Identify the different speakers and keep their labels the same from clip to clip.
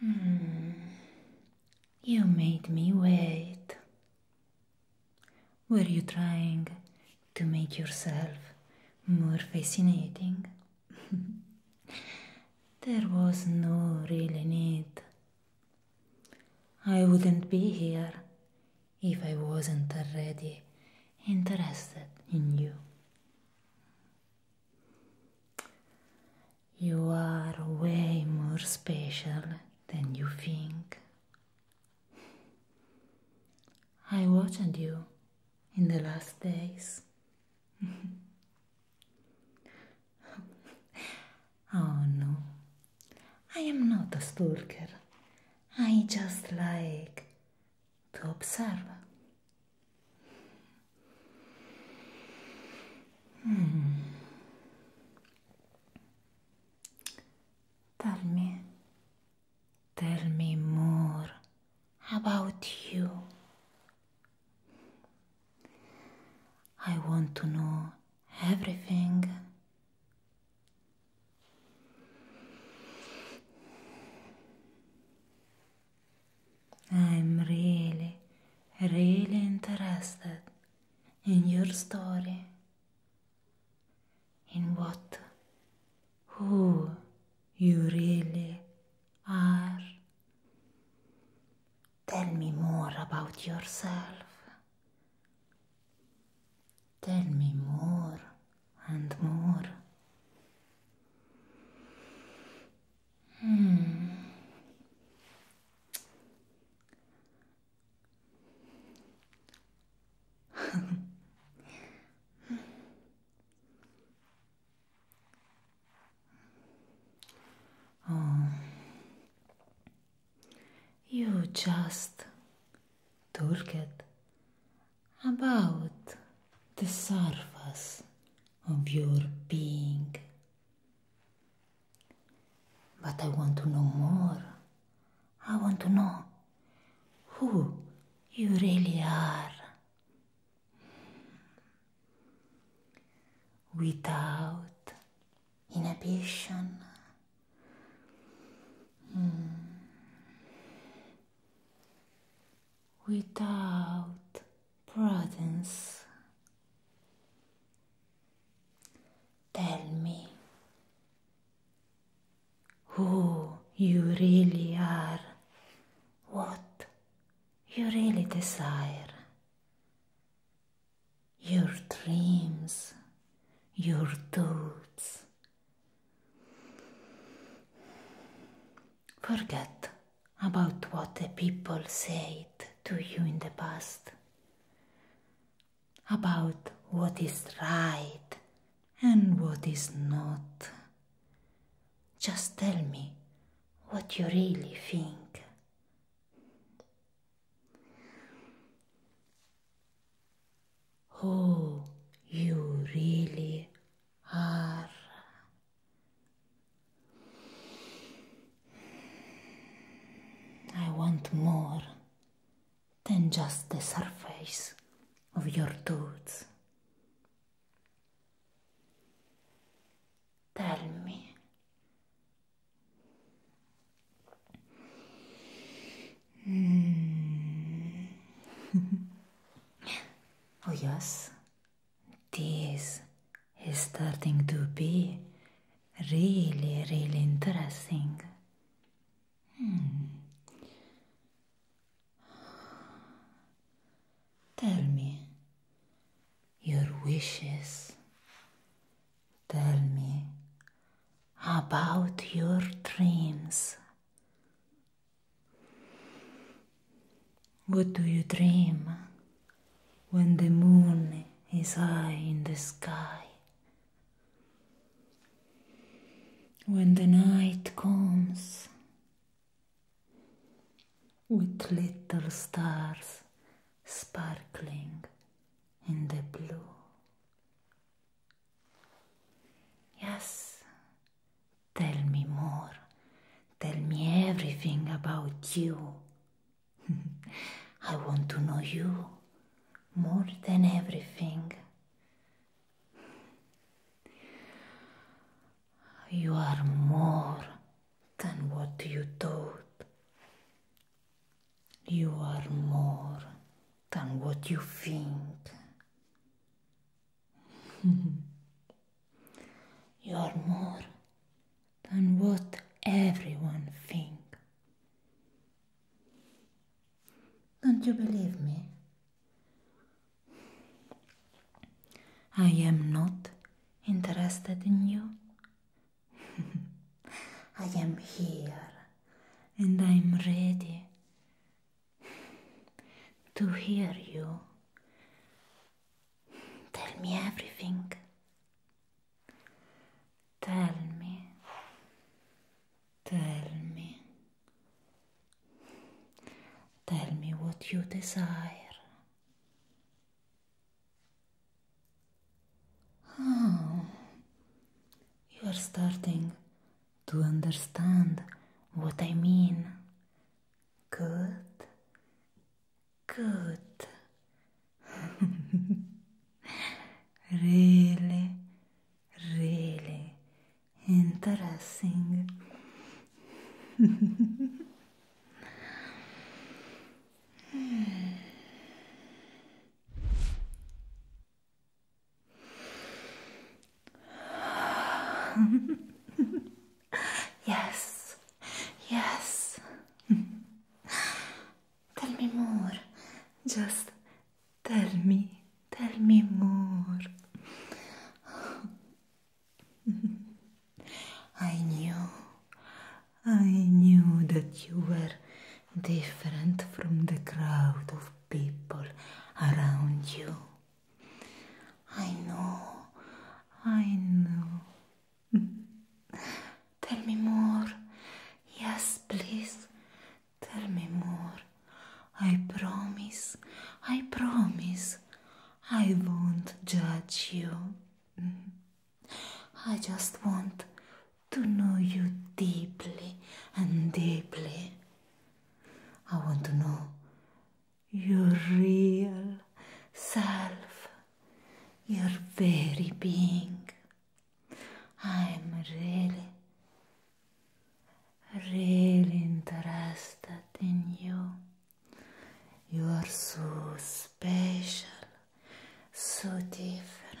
Speaker 1: Hmm. You made me wait. Were you trying to make yourself more fascinating? there was no really need. I wouldn't be here if I wasn't already interested in you. You are way more special than you think. I watched you in the last days. oh no, I am not a stalker. I just like to observe. Hmm. Tell me, tell me more about you. I want to know everything. I'm really, really interested in your story. In what? Who you really are? Tell me more about yourself. Tell me more and more. Hmm. Oh. You just toolkit about the surface of your being. But I want to know more. I want to know who you really are. Without inhibition. Mm without prudence. Tell me who you really are, what you really desire, your dreams, your thoughts, Forget about what the people said to you in the past, about what is right and what is not. Just tell me what you really think. Who oh, you really Ar. I want more than just the surface of your tooth. Tell me. Mm. Oh yes, this is starting to be really, really interesting. Hmm. Tell me your wishes. Tell me about your dreams. What do you dream when the moon is high in the sky? When the night comes with little stars sparkling in the blue? Yes, Tell me more. Tell me everything about you. I want to know you more than everything. You are more than what you thought. You are more than what you think. Mhm. You're more than what everyone thinks. Don't you believe me? I am not interested in you. I am here and I'm ready to hear you. Tell me everything. Tell me. Tell me. Tell me what you desire. Oh, starting to understand what I mean. Good. Good. really, really interesting. yes, yes. tell me more. Just tell me, tell me more. I knew, I knew that you were different from the crowd of people around you. I know, I know. Tell me more. Yes, please. Tell me more. I promise, I promise. I won't judge you. I just want to know you deeply and deeply. I want to know your real self, your very being. I'm really, really interested in you. You are so special, so different.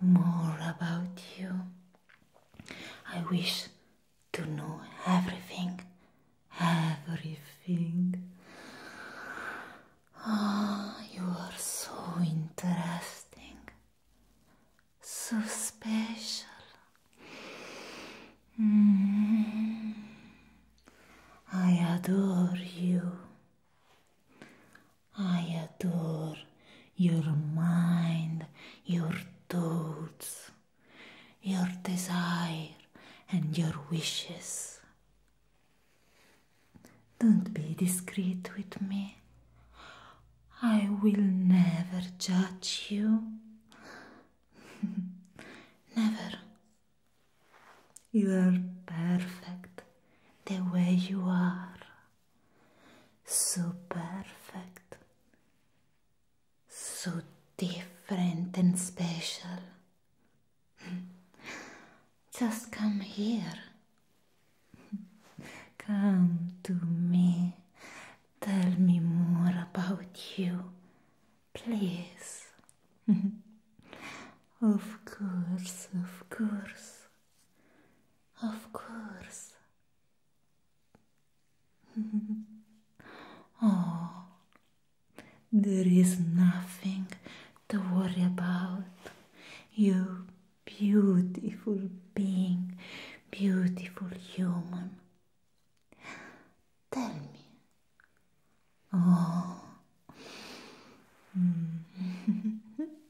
Speaker 1: more about you. I wish to know everything, everything. Ah, oh, you are so interesting, so special. Mm-hmm. I adore you. I adore your mind, your thoughts, your desire, and your wishes. Don't be discreet with me. I will never judge you. never. You are perfect the way you are su perfect, su different and special. Just come here. Come to me. Tell me more about you, please. of course, of course, of course. oh, there is nothing to worry about. You beautiful being, beautiful human. Tell me. Oh. Mm.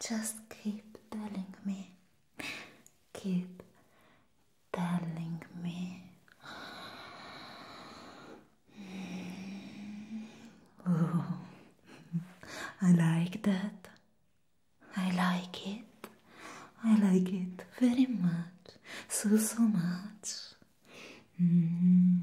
Speaker 1: Just keep telling me. Keep telling me. Ooh. I like that. I like it. I like it very much. So, so much. Mm-hmm.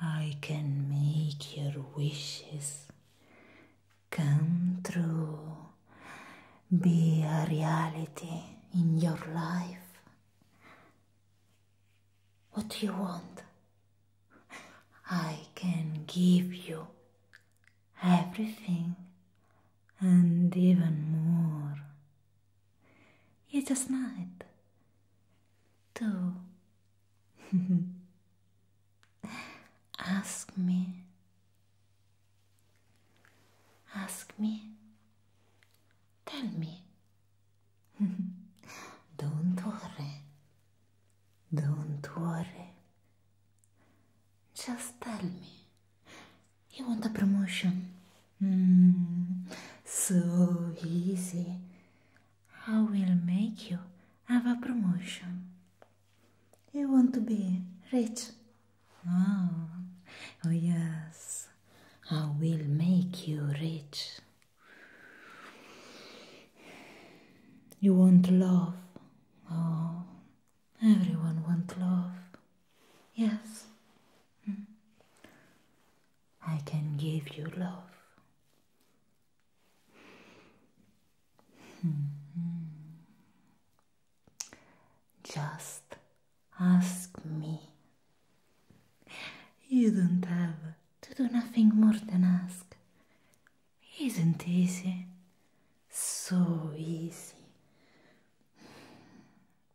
Speaker 1: I can make your wishes come true, be a reality in your life. What do you want? I can give you everything and even more. You just might. Do ask me. Ask me. Tell me. Don't worry. Don't worry. Just tell me. You want a promotion? Hmm. so easy. I will make you have a promotion. You want to be rich? Oh, oh yes. I will make you rich. You want love? Oh, everyone wants love. Yes. Hmm. I can give you love. Hmm. Just ask me. You don't have to do nothing more than ask. Isn't easy? So easy.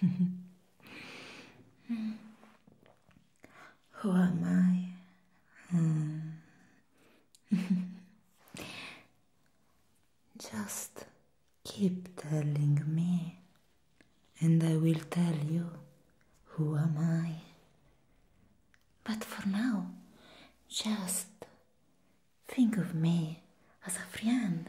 Speaker 1: Who am I? Hmm. Just keep telling me, and I will tell you who am I. But for now, just think of me as a friend,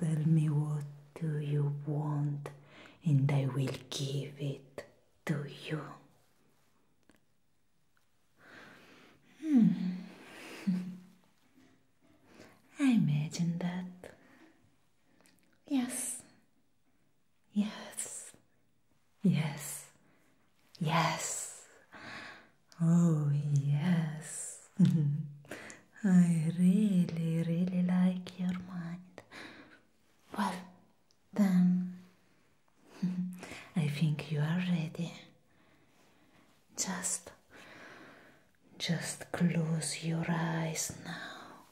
Speaker 1: Tell me what do you want and I will give it to you. Hmm. I imagine that. Yes. Yes. Yes. Yes. Oh, yes. I really, really like your mind. Well, then, I think you are ready. Just, just close your eyes now.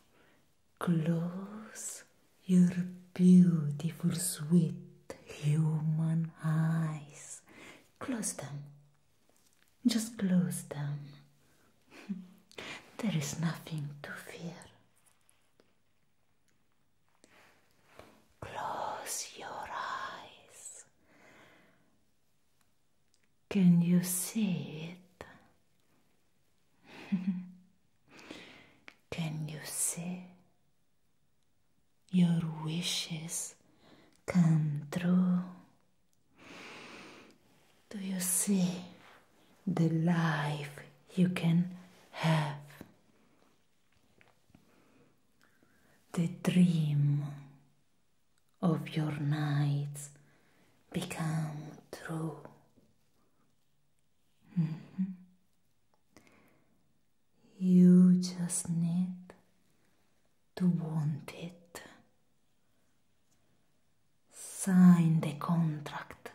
Speaker 1: Close your beautiful, sweet human eyes. Close them. Just close them. There is nothing to fear. Close your eyes. Can you see it? Can you see your wishes come true? Do you see the life you can have? The dream of your nights become true. Mm-hmm. You just need to want it. Sign the contract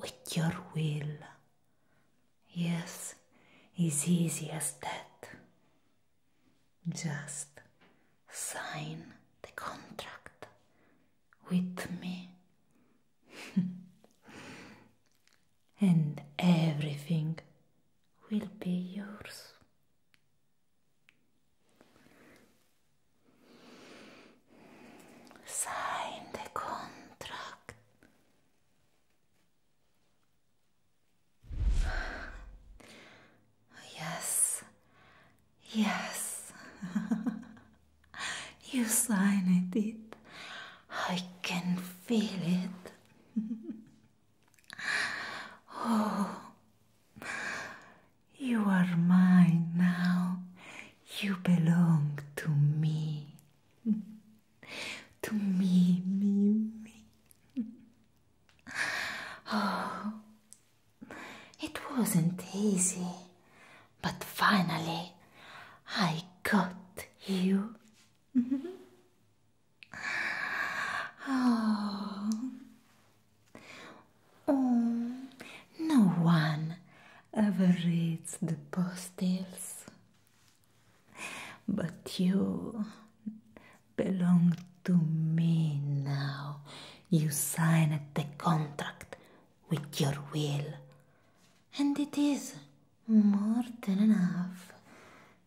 Speaker 1: with your will. Yes, it's easy as that. Just sign the contract with me. and everything will be yours. Sign the contract. Yes, yes, you signed it. I can feel it. Oh, you are mine now. You belong to me. to me, me, me. oh, it wasn't easy, but finally I got you. Mm-hmm. Oh. Um, no ever reads the postals, but you belong to me now. You signed the contract with your will, and it is more than enough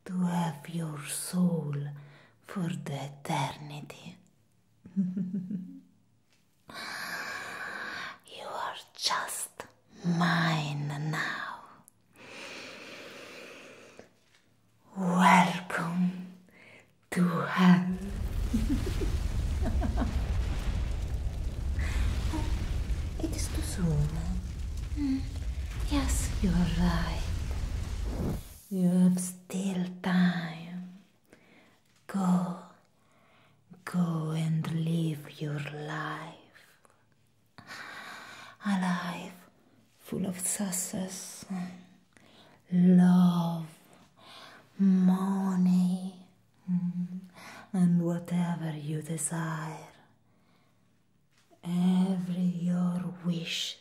Speaker 1: to have your soul for the eternity. you are just mine now. Welcome to hell. it is too soon. Eh? Mm. Yes, you are right. You have still time. Go, go and live your life. A life full of success, love, money, mm, and whatever you desire. Every your wish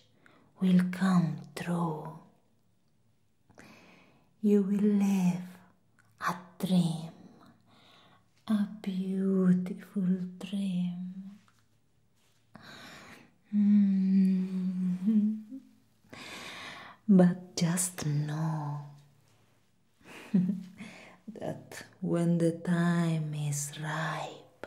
Speaker 1: will come true. You will live a dream, a beautiful dream. Mm-hmm. But just know that when the time is ripe,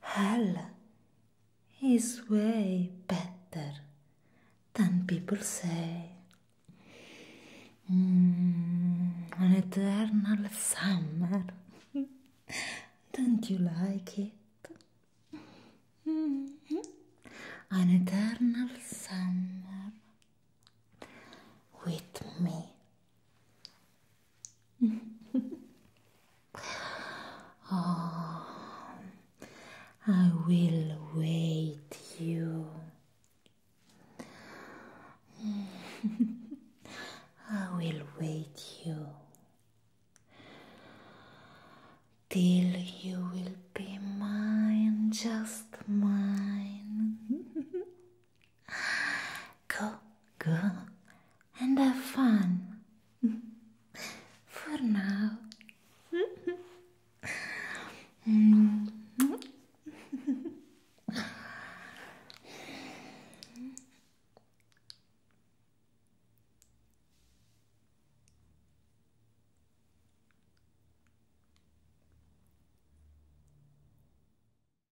Speaker 1: Hell is way better than people say. Mm, an eternal summer. Don't you like it? Mm -hmm. An eternal summer with me. Ah, I will wait you. I will wait you till you will be mine, just mine. Go, go, and have fun. For now.